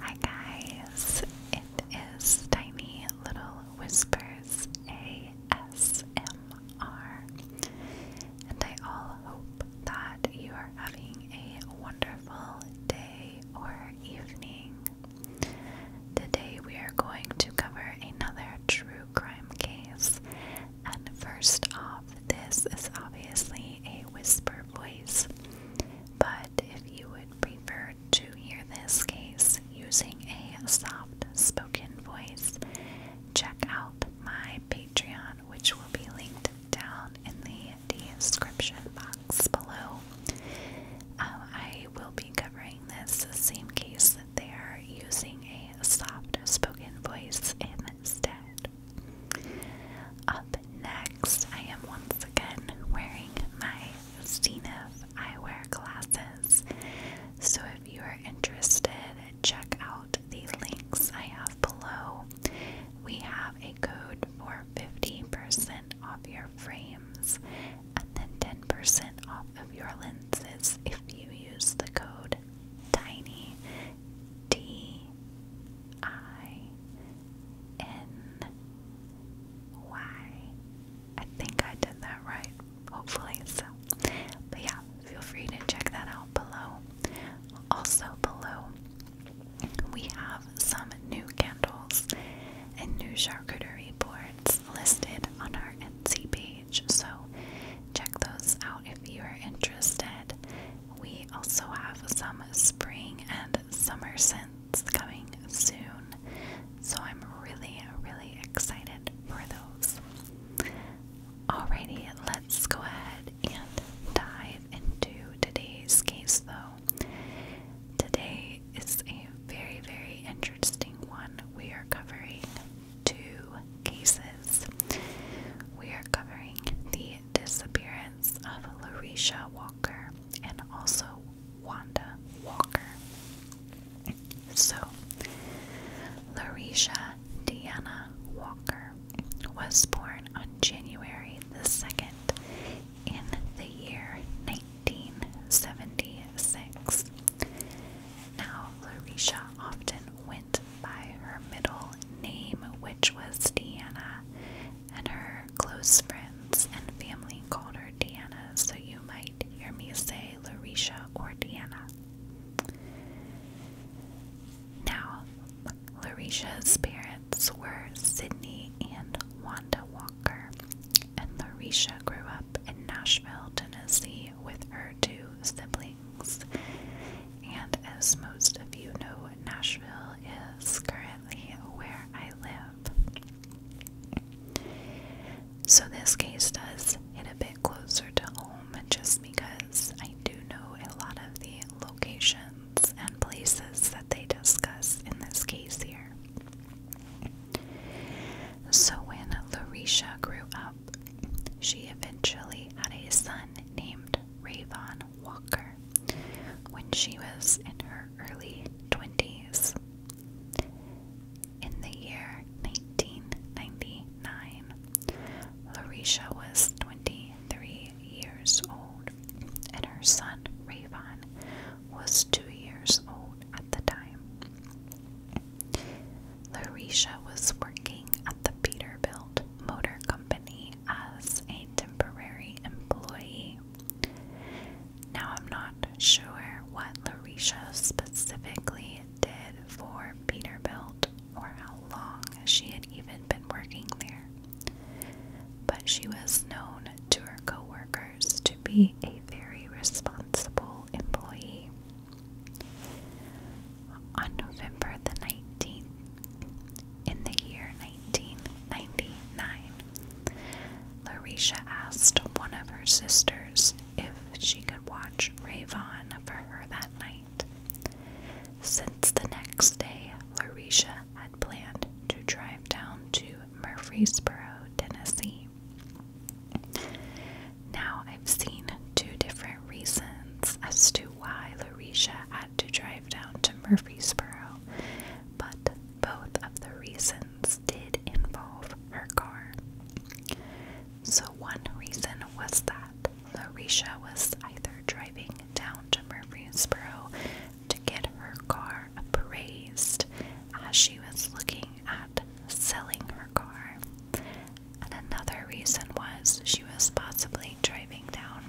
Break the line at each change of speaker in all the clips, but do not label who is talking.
Hi guys, it is Tiny Little Whispers ASMR, and I all hope that you are having a wonderful day or evening. Today we are going to cover another true crime case, and first off, this is obviously a whisper voice. But if you would prefer to hear this case using a soft spoken voice, check out my Patreon, which will be linked down in the description box below. Um, I will be covering this same case there using a soft spoken voice in up next, I am once again wearing my Zenith eyewear glasses. So if you are interested, check out the links I have below. We have a code for 50% off your frames and then 10% off of your lenses if you use the code TINY D I N Y. I think I did that right, hopefully. So, but yeah, feel free to check that out below. Also, below, we have some new candles and new charcuterie boards listed on our NC page. So, check those out if you are interested. We also have some spring and summer scents coming soon, so I'm really, really excited for those. Alrighty, let's go ahead and dive into today's case though. Today is a very, very interesting one. We are covering two cases. We are covering the disappearance of Larisha Walker and also Wanda Walker. So, Larisha Deanna Walker was born on January the 2nd in the year 1976. Now, Larisha often went by her middle name, which was Diana, and her close friends and family called her Diana. so you might hear me say Larisha or Diana. Now, Larisha's parents were Sydney and Wanda Walker, and Larisha grew up in Nashville, Tennessee, with her two siblings. And as most of you know, Nashville is currently where I live. So this case does hit a bit closer to home just because I do know a lot of the locations and places that they discuss in this case here. So when Larisha grew up, she eventually had a son named Rayvon Walker when she was in her early 20s. In the year 1999, Larisha was 23 years old, and her son Rayvon was two years old at the time. Larisha was working at the Peterbilt Motor Company as a temporary employee. Now, I'm not sure what Larisha specifically did for Peterbilt or how long she had even been working there, but she was known to her coworkers to be a very responsible employee on November the 19th in the year 1999. Larisha asked one of her sisters if she could watch Ravon for her that night. Since the next day, Larisha had planned to drive down to Murfreesboro, Tennessee. Now I've seen two different reasons as to why Larisha had to drive down to Murfreesboro, but both of the reasons did involve her car. So, one reason was that Larisha was either driving down to Murfreesboro to get her car appraised as she was looking at selling her car. And another reason was she was possibly driving down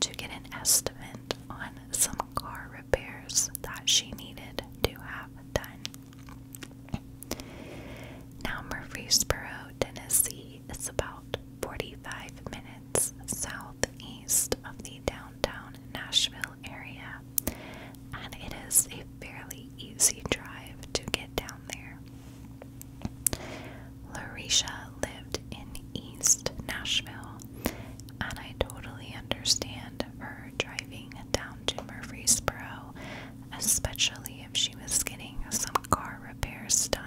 to get an estimate on some car repairs that she needed to have done. Now, Murfreesboro, Tennessee is about 45 minutes southeast of the downtown Nashville area, and it is a fairly easy drive to get down there. Larisha lived in East Nashville, and I totally understand her driving down to Murfreesboro, especially if she was getting some car repairs done.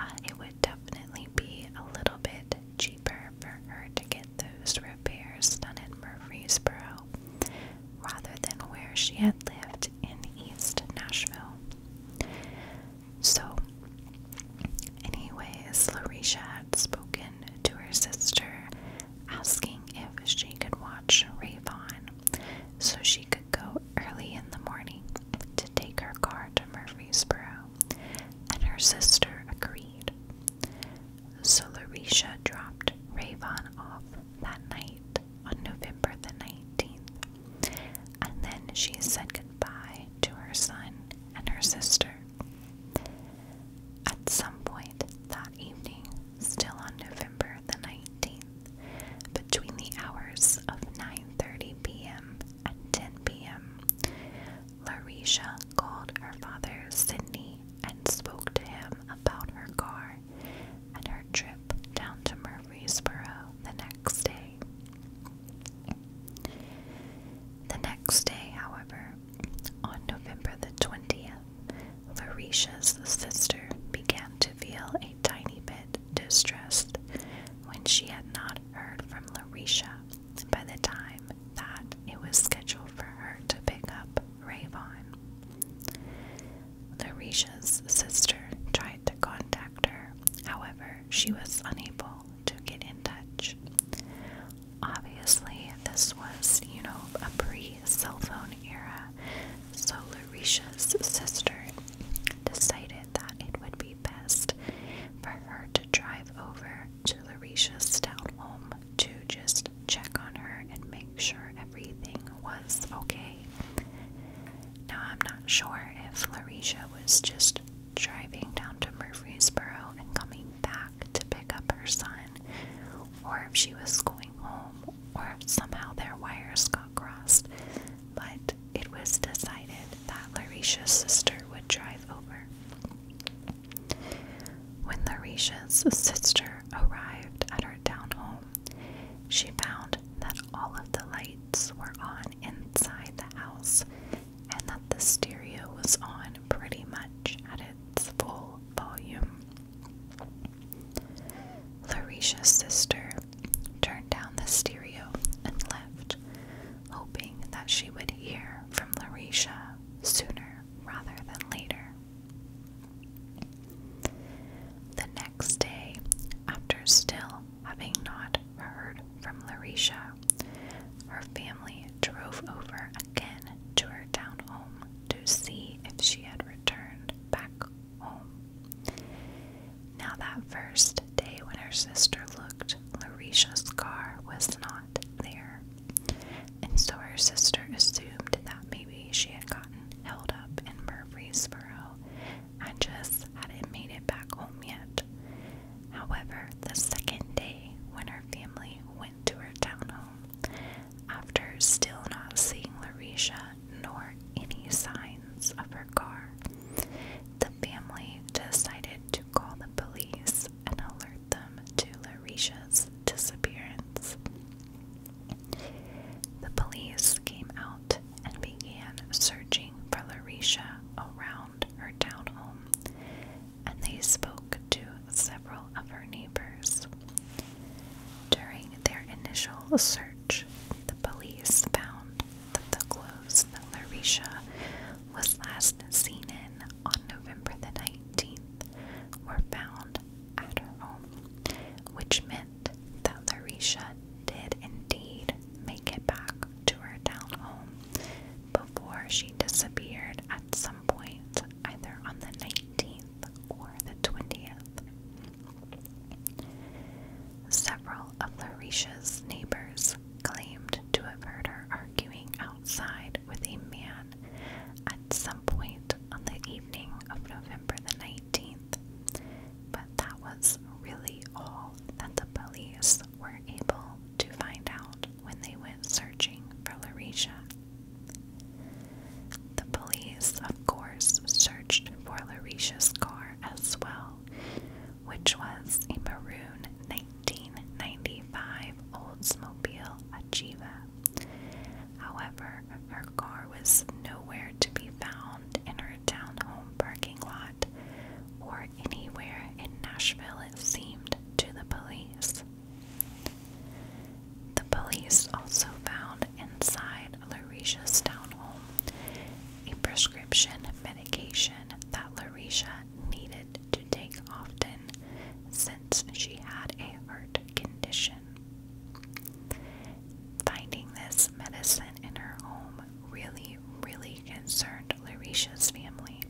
Uh, it would definitely be a little bit cheaper for her to get those repairs done in Murfreesboro rather than where she had lived in East Nashville. So, anyways, Larisha had spoken to her sister, asking if she could watch Rayvon so she could go early in the morning to take her car to Murfreesboro, and her sister agreed. So Larisha dropped Rayvon off that night on November the 19th, and then she said goodbye to her son and her sister. At some point that evening, still on November the 19th, between the hours of 9:30 p.m. and 10 p.m., Larisha called her father Sydney and spoke to him about her car and her trip down to Murfreesboro the next day. The next day, however, on November the 20th, Larisha's sister began to feel a tiny bit distressed when she had not heard from Larisha by the time that it was scheduled for her to pick up Ravon. Larisha's sister tried to contact her, however, she was unable to get in touch. Obviously, this was, you know, a pre cell phone era, so Larisha's sister decided that it would be best for her to drive over to Larisha's town home to just check on her and make sure everything was okay away. Now, I'm not sure if Larisha was just driving down to Murfreesboro and coming back to pick up her son, or if she was going home, or if somehow their wires got crossed, but it was decided that Larisha's sister would drive over. When Larisha's sister arrived at her town home, she found that all of the lights were on inside the house and that the stereo was on pretty much at its full volume. Larisha's sister turned down the stereo and left, hoping that she would hear from Larisha sooner rather than later. The next day, after still Having not heard from Larisha, her family drove over again to her town home to see if she had returned back home. Now, that first day when her sister looked, Larisha's car was not there, and so her sister assumed that maybe she had gotten held up in Murfreesboro I just hadn't made it back home yet. However, the second day when her family went to her town home, after still not seeing Larisha nor any signs of her car, the family decided to call the police and alert them to Larisha's disappearance. The police came out and began searching for Larisha around her town home, and they spoke to several of her neighbors. During their initial search, the police found that the clothes that Larisha was last seen in on November the 19th were found at her home, which meant that Larisha did indeed make it back to her town home before she disappeared at some point, either on the 19th or the 20th. Several of Larisha's neighbors claimed to have heard her arguing outside with a man at some point on the evening of November the 19th, but that was really all that the police were able to find out when they went searching for Larisha. The police, of course, searched for Larisha's car as well, which was a maroon 1995 Oldsmobile Achieva. However, her car was nowhere to be found in her townhome parking lot or anywhere in Nashville, it seemed to the police. The police also found inside Larisha's townhome a prescription medication that Larisha needed to take often since she had a heart condition. Finding this medicine in her home really, really concerned Larisha's family,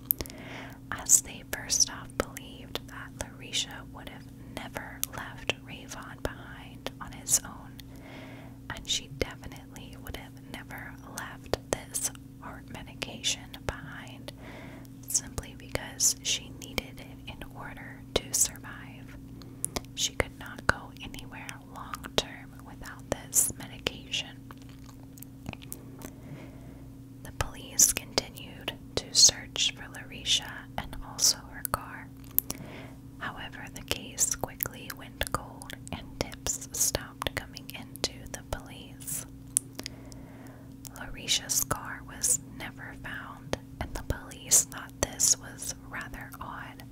as they first off believed that Larisha would have never left Rayvon behind on his own, and she definitely would have never left this heart medication behind simply because she needed it in order to survive. She could not go anywhere long term without this medication. The police continued to search for Larisha and also her car. However, the case quickly went cold and tips stopped coming into the police. Larisha's car was never found, and the police thought this was rather odd,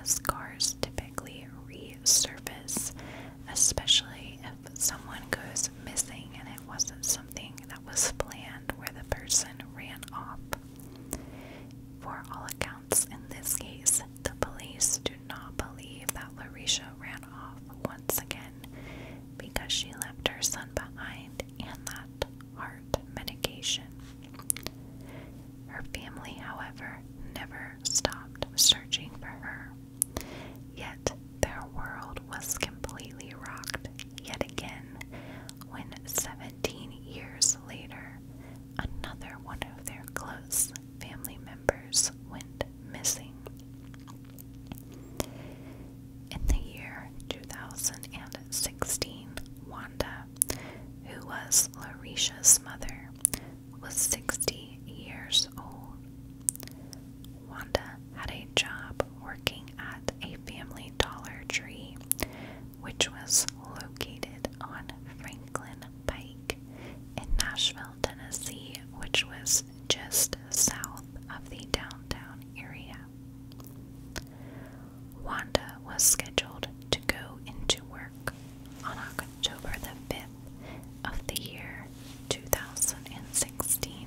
as cars typically resurface, especially if someone goes missing and it wasn't something that was planned where the person ran off. For all accounts, in this case, the police do not believe that Larisha ran off once again because she left her son behind and that heart medication. Her family, however, never stopped searching for her. Yet their world was completely rocked yet again when 17 years later, another one of their close family members went missing. In the year 2016, Wanda who was Larisha's mother, was 60 years old. Wanda had a job working at a family Dollar Tree, which was located on Franklin Pike in Nashville, Tennessee, which was just south of the downtown area. Wanda was scheduled to go into work on October the 5th of the year 2016.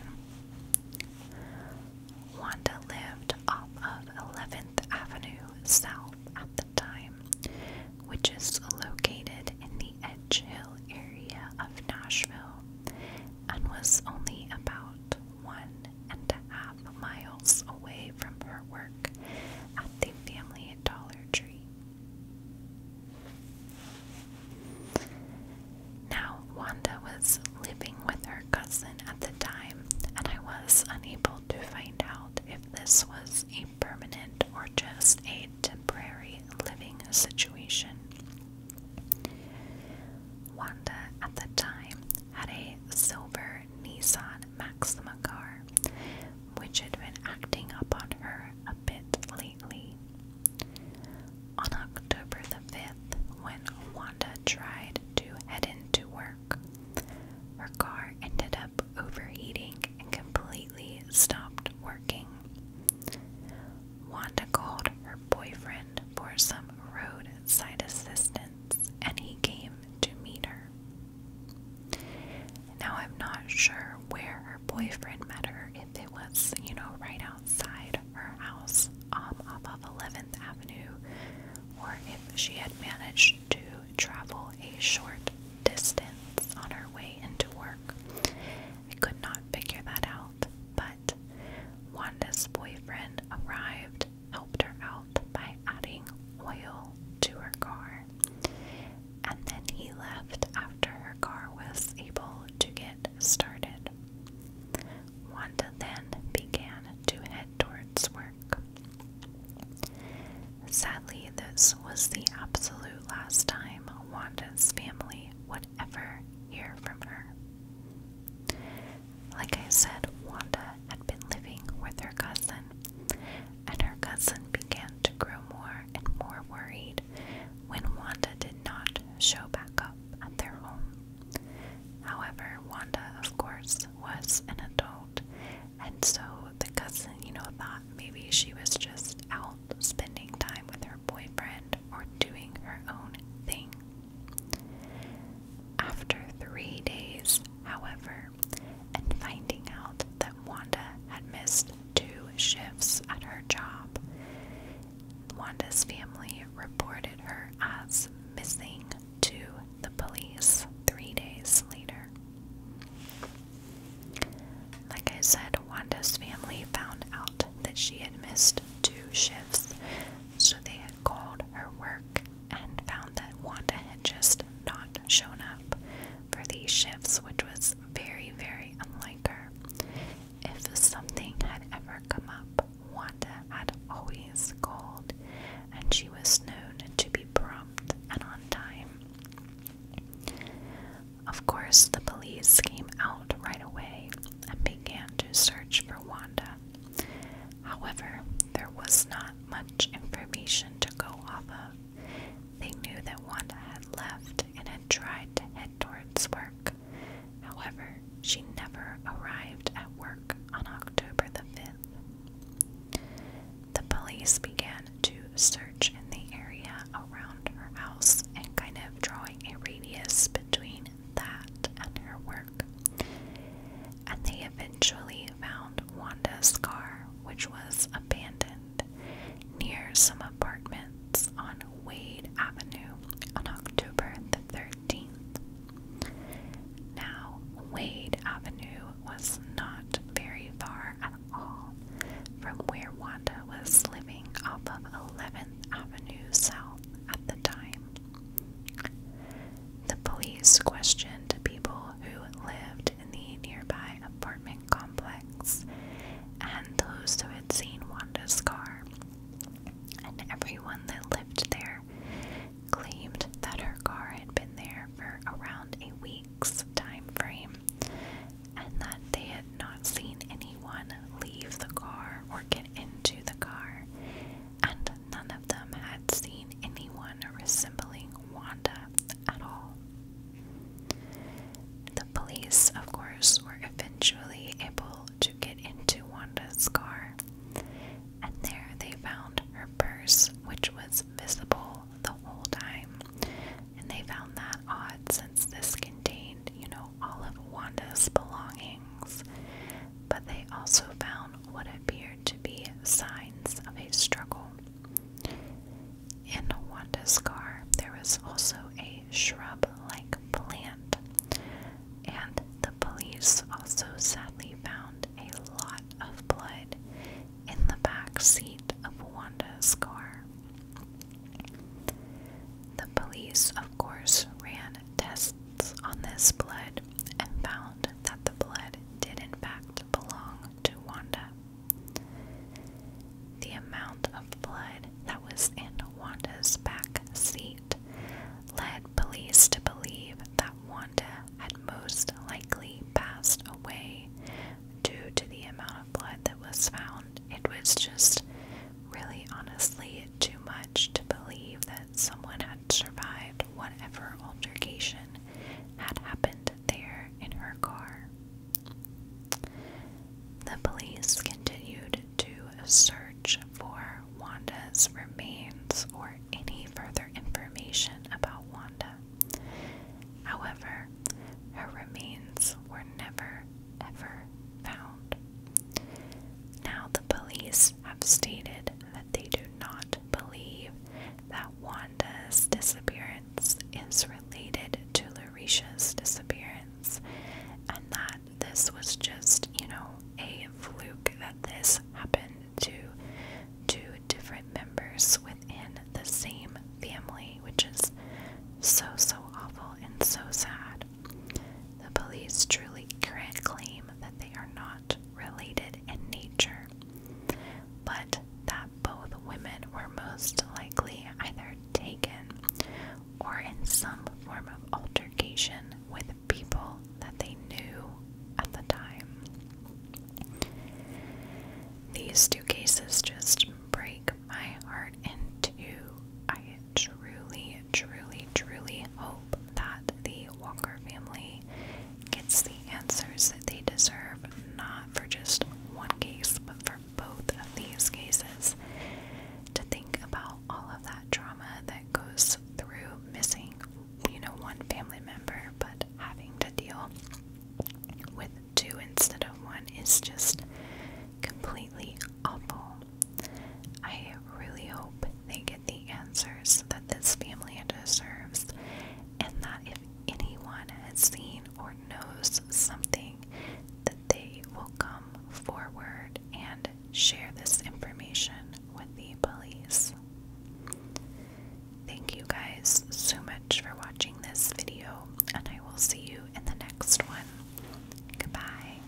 Wanda lived off of 11th Avenue South at the time, which is located in the Edge Hill area of Nashville, and was only about one and a half miles away from her work at the family Dollar Tree. Now, Wanda was living with her cousin at the time, and I was unable to find out if this was a permanent or just a temporary living situation. Wanda at the time had a silver Nissan Maxima car, which had been acting up on her a bit lately. On October the 5th, when Wanda tried to head into work, her car ended up overheating and completely stopped working. Wanda called her boyfriend for some roadside assistance and he came to meet her. Now, I'm not sure where her boyfriend met her, if it was, you know, right outside her house um, off 11th Avenue, or if she had managed to travel a short distance on her way into work. I could not figure that out, but Wanda's boyfriend arrived helped her out by adding oil to her car. And then he left after her car was able to get started. Wanda then began to head towards work. Sadly, this was the absolute last time Wanda's family would ever hear from her. Like I said, Wanda had been living with her cousin, and her cousin began to grow more and more worried when Wanda did not show back up at their home. However, Wanda, of course, was an adult, and so the cousin, you know, thought maybe she was just out spending time with her boyfriend or doing her own thing. After three days, however, and finding out that Wanda had missed two shifts at her job, Wanda's family reported her as missing to the police three days later. Like I said, Wanda's family found out that she had missed two shifts, so they called her work and found that Wanda had just not shown up for these shifts, which was very, very unlike her. If something had ever come up, Wanda had always called, and she was known to be prompt and on time. Of course, the police came out right away and began to search for Wanda. However, there was not much information to go off of. They knew that Wanda had left and had tried to head towards work. However, she never arrived at work on October the 5th. The police began to search in the area around her house and kind of drawing a radius between that and her work. And they eventually found Wanda's car, which was abandoned near some apartments on Wade Avenue on October the 13th. Now, Wade Avenue was not very far at all from where Wanda was living off of 11th Avenue South at the time. The police questioned people who lived in the nearby apartment complex and those who had seen Wanda's car. And everyone that lived there claimed that her car had been there for around a week's time frame and that they had not seen anyone leave the car or get into the car, none of them had seen anyone resembling Wanda at all. The police, of course, were eventually able to get into Wanda's car, and there they found her purse, which was visible the whole time. And they found that odd since this contained, you know, all of Wanda's belongings but they also found what appeared to be signs of a struggle. In Wanda's car, there was also a shrub like plant, and the police also sadly found a lot of blood in the back seat of Wanda's car. The police, of course, ran tests on this blood and found that the blood did in fact belong to Wanda. The amount of blood that was in Wanda's back seat led police to believe that Wanda had most likely passed away due to the amount of blood that was found. It was just really honestly too much to believe that someone had survived whatever altercation had happened there in her car. The police continued to search for Wanda's remains or any further information about Wanda. However, her remains were never ever found. Now the police have stated that they do not believe that Wanda's disappearance is related to Larisha's disappearance and that this was just, you know, a fluke that this happened to two different members within the same family, which is so, so awful and so sad. The police truly can't claim that they are not related in nature, but that both women were most likely either taken or in some form of altercation with people that they knew at the time. These two cases just break my heart in two truly, truly, truly hope that the Walker family gets the answers that they deserve, not for just one case, but for both of these cases. To think about all of that drama that goes through missing, you know, one family member, but having to deal with two instead of one is just completely awful. I really hope they get the answers that this family deserves, and that if anyone has seen or knows something, that they will come forward and share this information with the police. Thank you guys so much for watching this video, and I will see you in the next one. Goodbye.